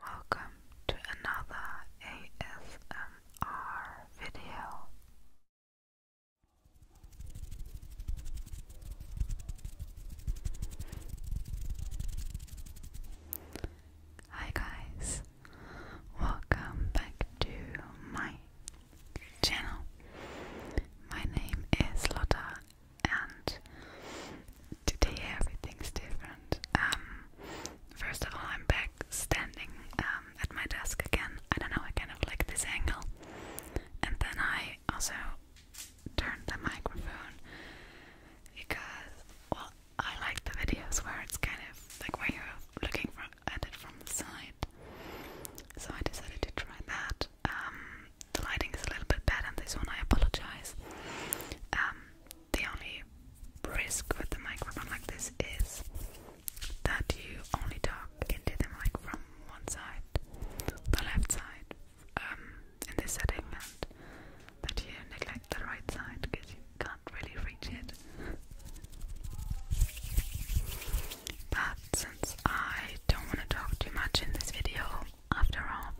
Welcome to another ASMR video. Hi guys, welcome back to my channel. My name is Lotta and today everything's different. Um, first of all, I'm back standing um, at my desk again. I don't know, I kind of like this angle. And then I also turned the microphone because, well, I like the videos where it's kind of like where you're looking from, at it from the side. So I decided to try that. Um, the lighting is a little bit bad on this one, I apologize the only risk with the microphone like this is that you only talk into the mic from one side, the left side, um, in this setting, and that you neglect the right side because you can't really reach it. But since I don't want to talk too much in this video, after all,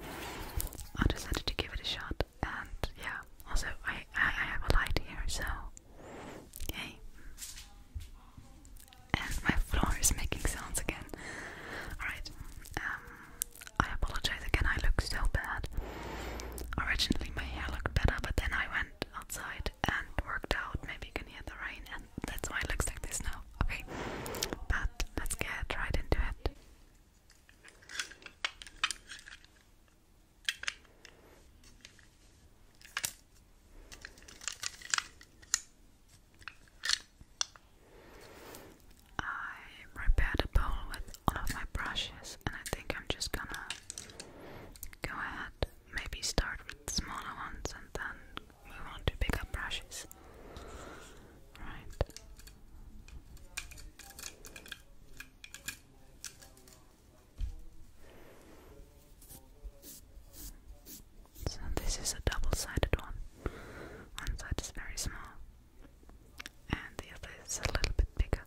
I decided to give it a shot and yeah, also I, I, have a light here, so yay. And my floor is making sounds again. Alright, um, I apologize again, I look so bad. Originally my hair looked better, but then I went outside and worked out. Maybe you can hear the rain, and that's why it looks like this now. Okay, but let's get right into it. I prepared a bowl with all of my brushes, and I think I'm just gonna go ahead, maybe start with smaller ones, and then move on to bigger brushes. Right. So this is a double-sided one. One side is very small, and the other is a little bit bigger.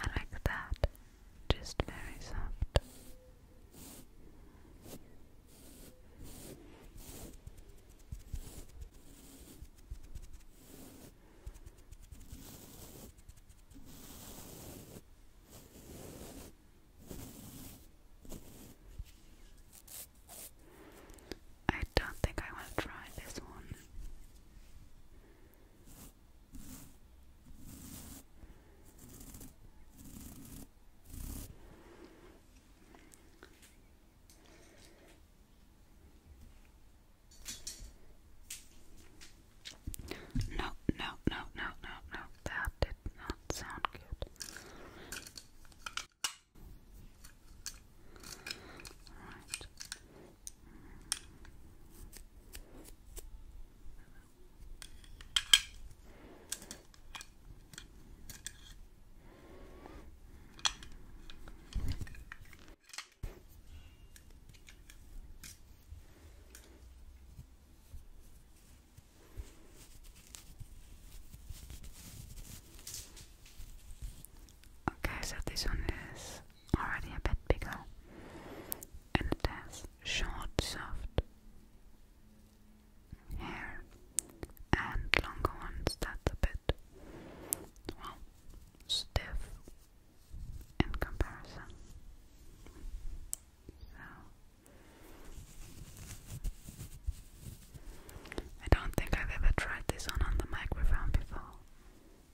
I like that, just very soft. I don't think I want to try this one. No, no, no, no, no, no. That did not sound good. All right. Okay, so this one is already a bit bigger, and it has short, soft hair and longer ones that's a bit, well, stiff in comparison. So, I don't think I've ever tried this on on the microphone before.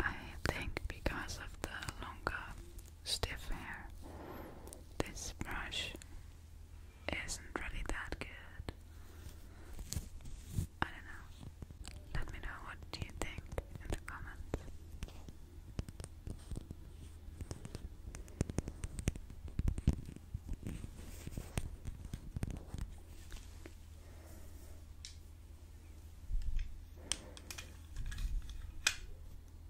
I think because of the longer stiff hair. This brush isn't really that good. I don't know. Let me know what do you think in the comments.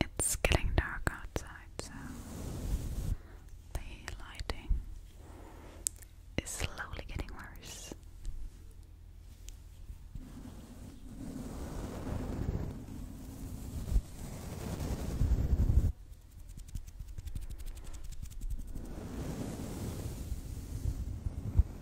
It's getting dark outside, so the lighting is slowly getting worse.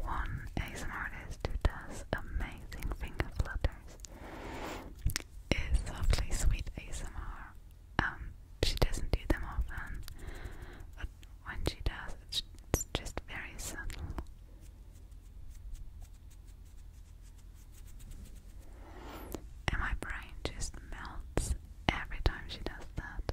one ASMR does amazing finger flutters is Softly Sweet ASMR. Um, she doesn't do them often, but when she does, it's just very subtle. And my brain just melts every time she does that.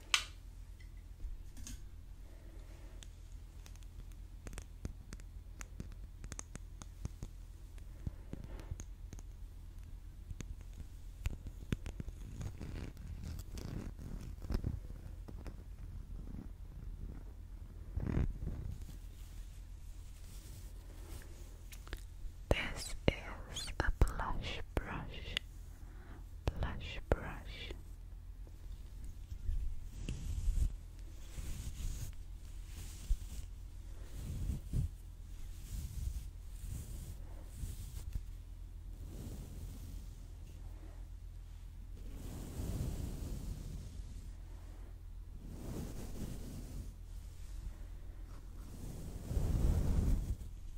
This is a blush brush blush brush. Brush,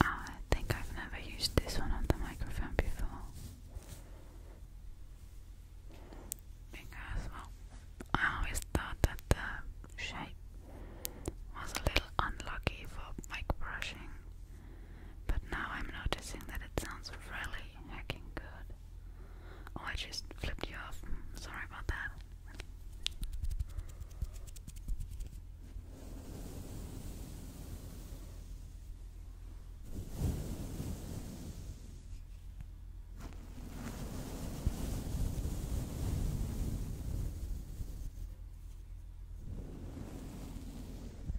I think I've never used this one on the microphone before. Because, well, I always thought that the shape was a little unlucky for mic brushing. But now I'm noticing that it sounds really hacking good. Oh, I just flipped you off. Sorry about that.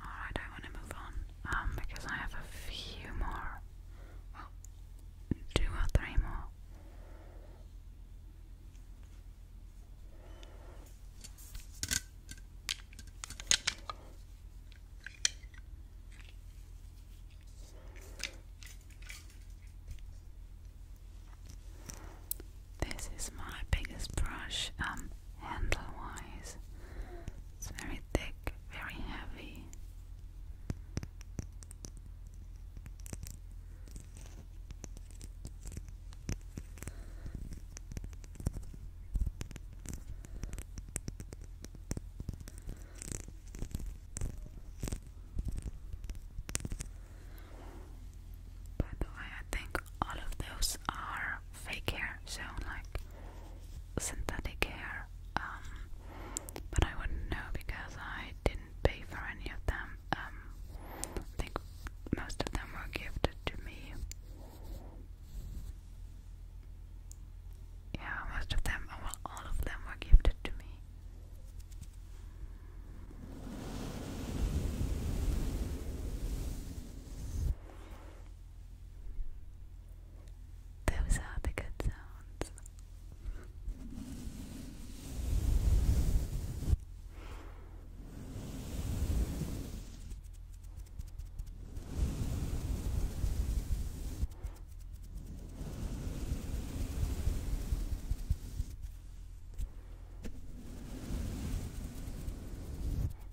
Alright, I want to move on um, because I have a few more. Well, two or three more. This is my biggest brush. Um, handle wise. It's very thick, very heavy. By the way, I think all of those are fake hair, so like synthetic hair, um, but I wouldn't know because I didn't pay for any of them. Um, I think most of them were gifted to me. Yeah, most of them, all of them were gifted to me. Those are the good sounds.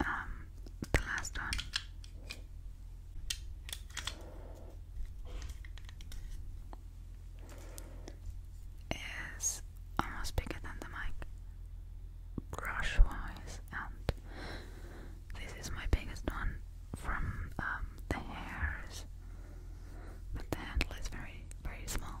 Um, the last one. Is almost bigger than the mic, brush wise and this is my biggest one from um, the hairs but the handle is very very small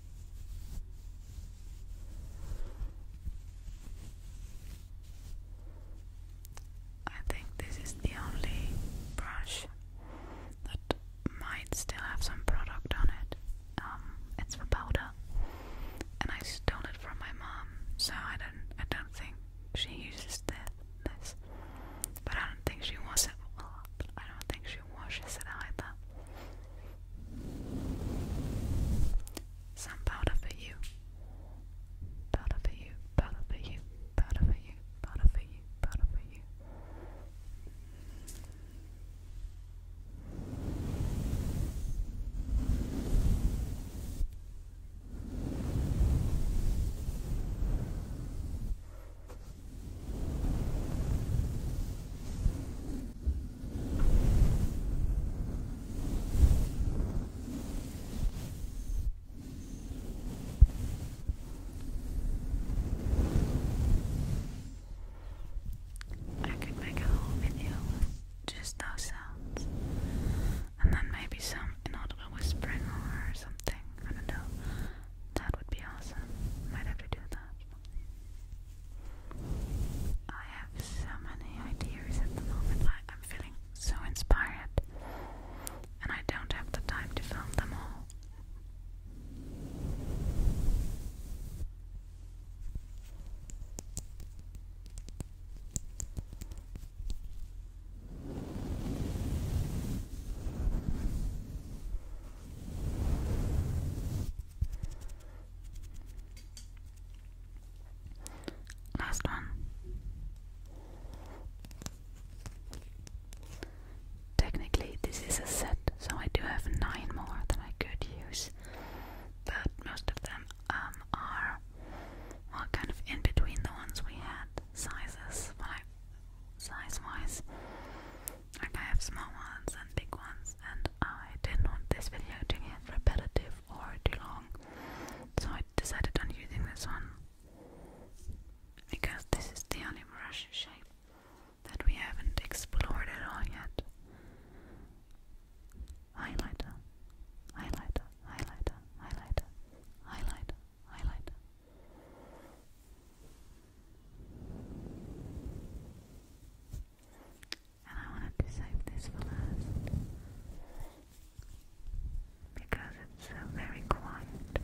I think this is the only brush that might still have some product on it. Um, it's for powder, and I stole it from my mom, so I don't, I don't think she uses this. But I don't think she washes it either. Some powder for you. Powder for you, powder for you, powder for you, powder for you, powder for you. I could make a whole video with just those sounds, and then maybe some inaudible whispering or something. I don't know. That would be awesome. Might have to do that. I have so many ideas at the moment. I, am feeling so inspired, and I don't have the time to film them all. Last one. Technically, this is a set, so I do have nine more that I could use, but most of them um, are well, kind of in between the ones we had sizes, size-wise. Like I have small ones and big ones and I didn't want this video to get repetitive or too long. So I decided on using this one. Because this is the only brush shape that we haven't explored at all yet. Highlighter, highlighter, highlighter, highlighter, highlighter, highlighter and I wanted to save this for last because it's so very quiet.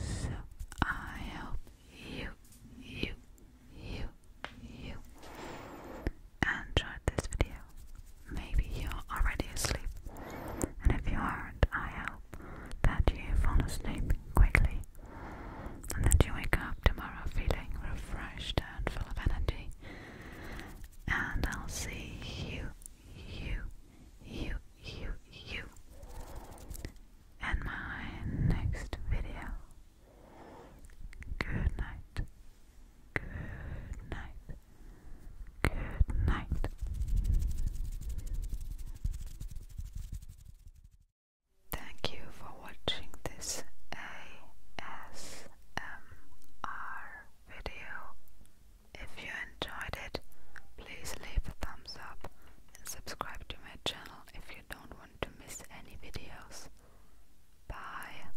So I hope you, you, you, you enjoyed this video. Maybe you're already asleep, and if you aren't, I hope that you fall asleep quickly and that you wake up tomorrow feeling refreshed and full of energy. And I'll see you, you, you, you, you in my next video. Good night. Good night. Good night. Thank you for watching this ASMR video. If you enjoyed it, please leave a thumbs up and subscribe to my channel if you don't want to miss any videos. Bye.